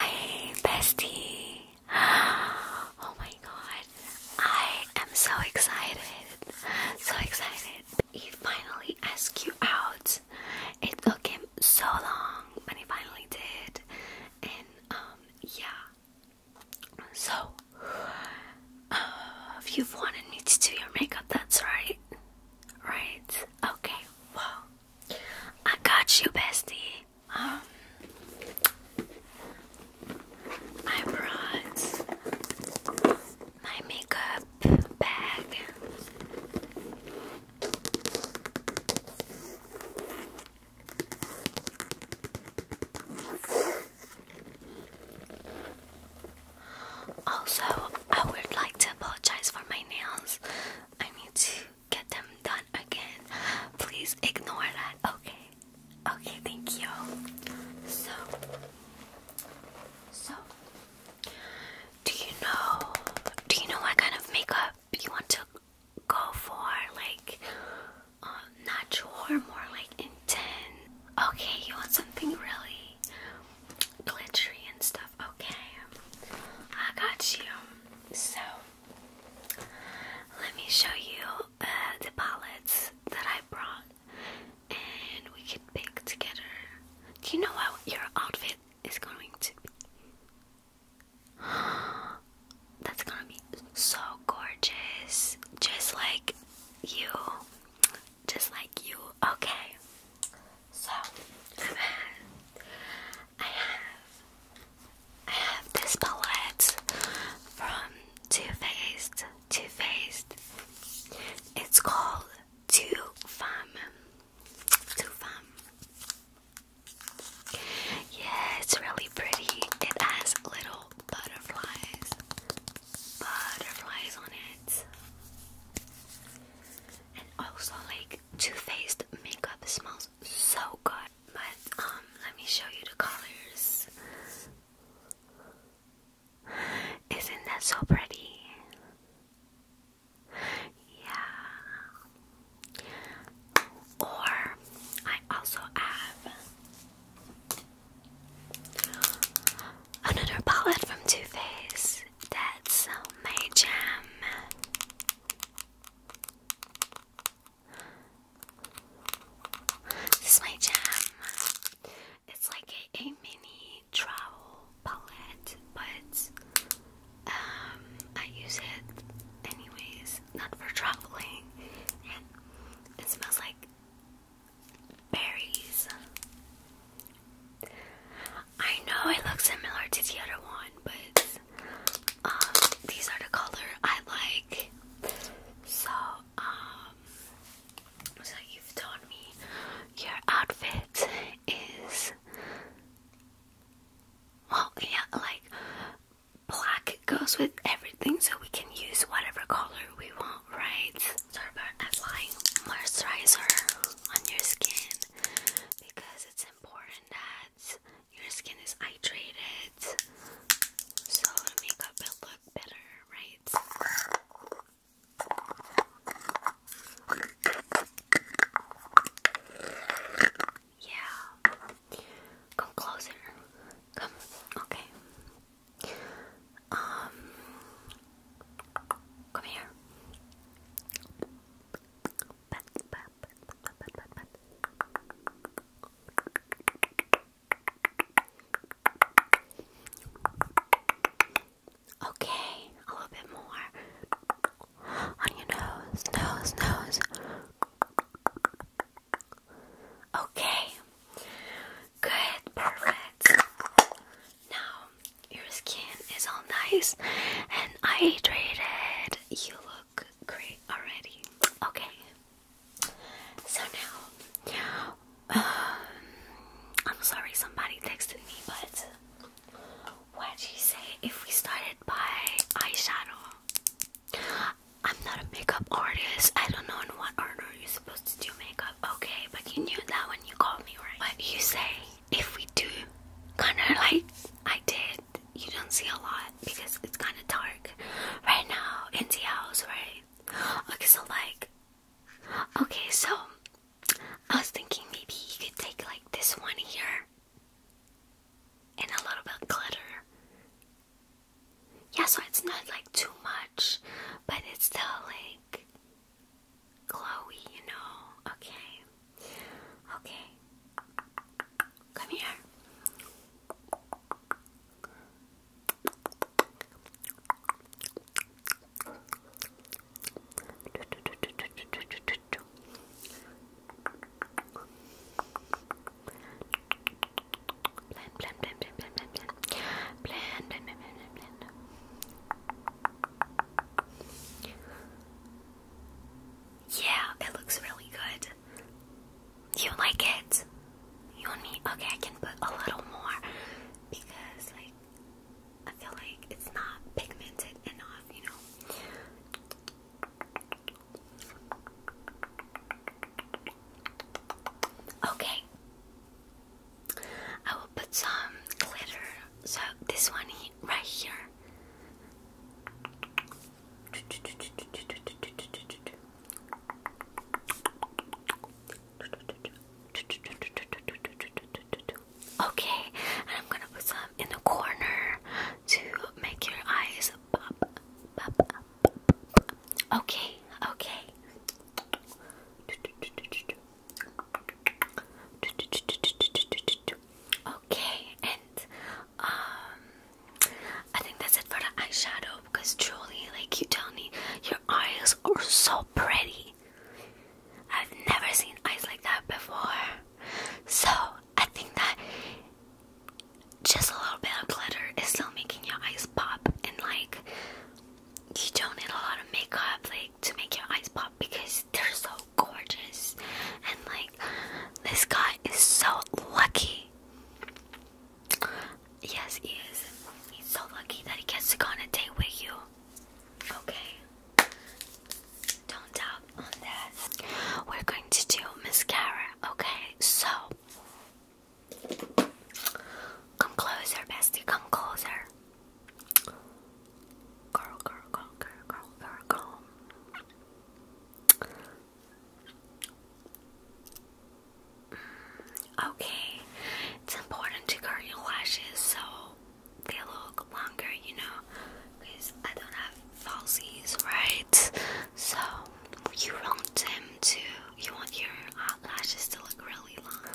Hi, bestie. Oh my god. I am so excited. So excited. He finally asked you out. It took him so long, but he finally did. And, um, yeah. So, uh, if you've wanted me to do your makeup, that's right. Right? Okay, well, I got you, bestie. Um, I brought my makeup bag. Also, I would like to apologize for my nails. I need to get them done again. Please ignore that. Okay. Okay, thank you. So so do you know do you know what kind of makeup you want to go for? Like um, natural or more like intense? Okay, you want something really glittery and stuff. Okay. I got you. So let me show you uh, the palettes that I brought and we can pick together. Do you know what your outfit is going to be? That's gonna be so gorgeous. Just like you. Just like you. Okay. So, I have I have this palette from Too Faced. Too Faced. It's called Two Femme. Two Femme. Yeah, it's really pretty. It has little butterflies. Butterflies on it. And also like like Too Faced makeup. smells so good. But um, let me show you the colors. Isn't that so pretty? Yeah. Or I also have another palette from Too Faced. That's my jam. This is my jam. It's like a, mini travel palette, but um, I use it anyways, not for traveling. And it smells like berries. I know it looks similar to the other one, but um, these are the color I like. So, um, so you've told me your outfit is, well, yeah, like black goes with everything, so we can use whatever color we want, right? Start by applying moisturizer on your skin because it's important that your skin is hydrated, so the makeup will look better, right? Yeah. Come closer. Come. Okay. Um. Come here pat, Okay, a little bit more on your nose, nose, nose. Okay, good, perfect. Now your skin is all nice and hydrated. You look great already. Okay. So now, um, I'm sorry somebody texted me, but why'd you say if we started by eyeshadow? I'm not a makeup artist. I don't know in what order you're supposed to do makeup. Okay, but you knew that when you called me, right? But you say if we do, kind of like I did you don't see a lot because it's kind of dark right now in the house, right? Okay, so like, okay, so I was thinking maybe you could take like this one here and a little bit glitter. Yeah, so it's not like too much, but it's still like Chloe, you know? Okay. Okay. Come here. Yeah, it looks really good. You like it? You want me? Okay, I can put a little more because, like, I feel like it's not pigmented enough, you know? Okay. I will put some glitter. So, this one right here. Okay, and I'm gonna put some in the corner to make your eyes pop, Okay, okay. Okay, and um I think that's it for the eyeshadow because truly like you tell me your eyes are so pretty. I've never seen eyes like that before. So I think that just a little bit of glitter is still making your eyes pop and like you don't need a lot of makeup like to make your eyes pop because they're so gorgeous and like this guy is so lucky yes he is he's so lucky that he gets to go on a date with you okay don't doubt on that we're going to do mascara okay so come closer bestie come closer girl, girl, girl, girl, girl, girl. Okay, it's important to curl your lashes so they look longer, you know, because I don't have falsies, right? So you want them to, you want your uh, lashes to look really long.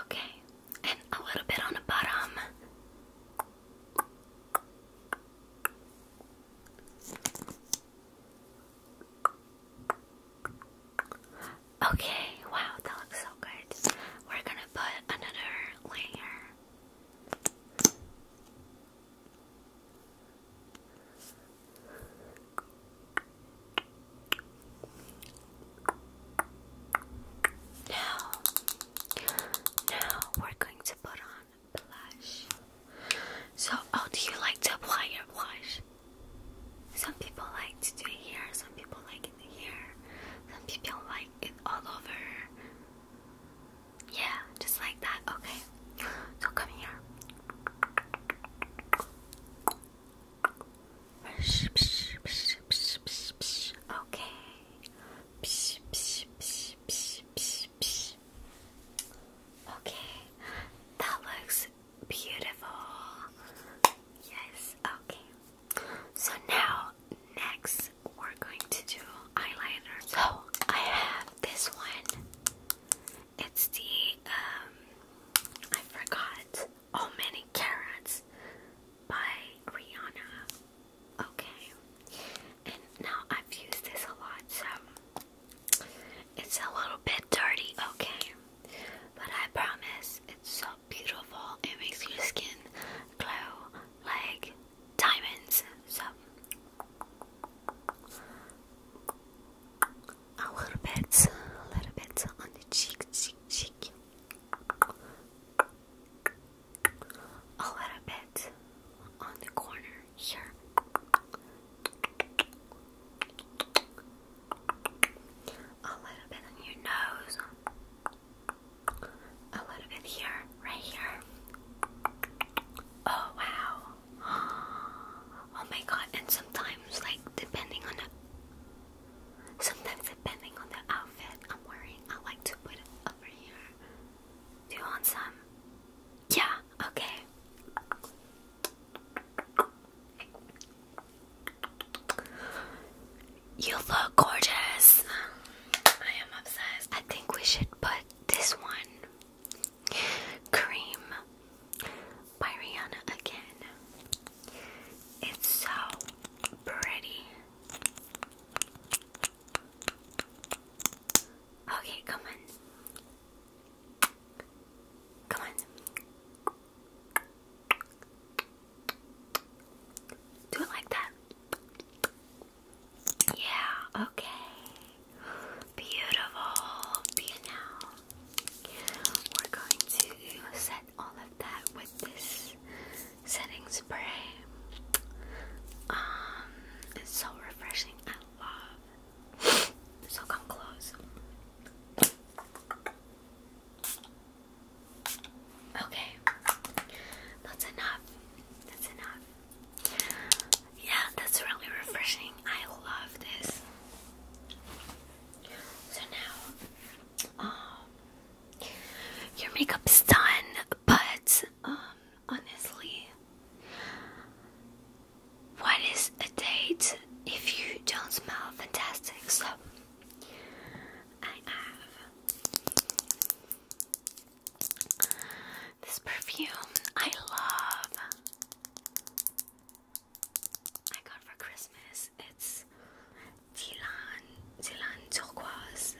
Okay, and a little bit on the bottom. Okay, wow, that looks so good. We're gonna put another layer. Now, now we're going to put on blush. So, oh, do you like to apply your blush? Some people like to do here, some people like it here, some people like it all over. Yeah, just like that. Okay, so come here. Okay. Okay. That looks beautiful. Yes. Okay. So now next we're going to do eyeliner. So I have this one. It's the um I forgot Oh Many Carrots by Rihanna. Okay. And now I've used this a lot, so it's a little bit dirty, okay? But I promise it's so beautiful. It makes your skin glow like diamonds. So a little bit, a little bit on the cheek, cheek, cheek, a little bit on the corner here, a little bit on your nose, a little bit here, right here. Oh wow! Oh my god! And sometimes, like depending on Sometimes, depending on the outfit I'm wearing, I like to put it over here. Do you want some? Yeah, okay. You look gorgeous. I am obsessed. I think we should put this one cream by Rihanna again. It's so pretty. Okay, come on. Come on. Do it like that. Yeah, okay. Beautiful. Be We're going to set all of that with this setting spray. Um, it's so refreshing. I love. So come close. Okay, that's enough. That's enough. Yeah, that's really refreshing. I love this. So now, um, your makeup's done, but um, honestly, what is a date if you don't smell fantastic? So I have this perfume I love. I got for Christmas. It's Dilan, Dilan turquoise.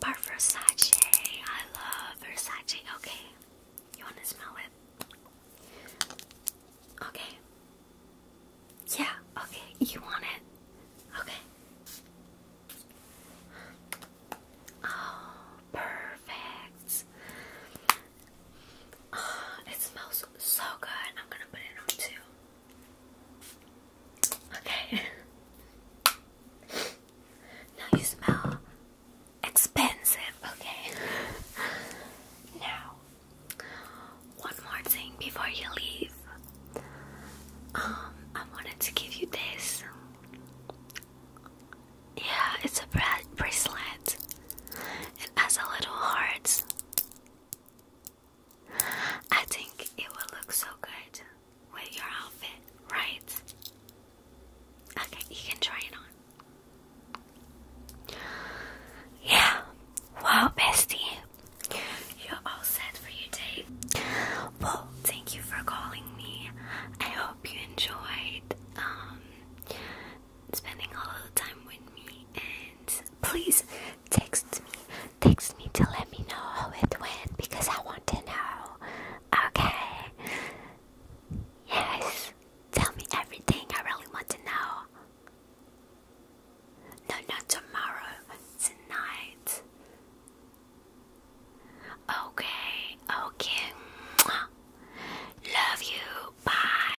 By Versace. I love Versace. Okay. You wanna smell it? Okay. Yeah, okay. You want it? Okay. Oh, perfect. it smells so good. I'm gonna put it on too. Okay. now you smell expensive. Okay. now, one more thing before you leave. Um, I wanted to give you this. Yeah, it's a bracelet. It has a little heart I think it will look so good with your outfit, right? Okay, you can try it on. Yeah, wow, bestie. You're all set for your day. Well, thank you for calling me. I hope you enjoyed um, spending all the time with me and please text me text me to let me know how it went because I want to know okay yes tell me everything I really want to know no not tomorrow tonight okay okay love you bye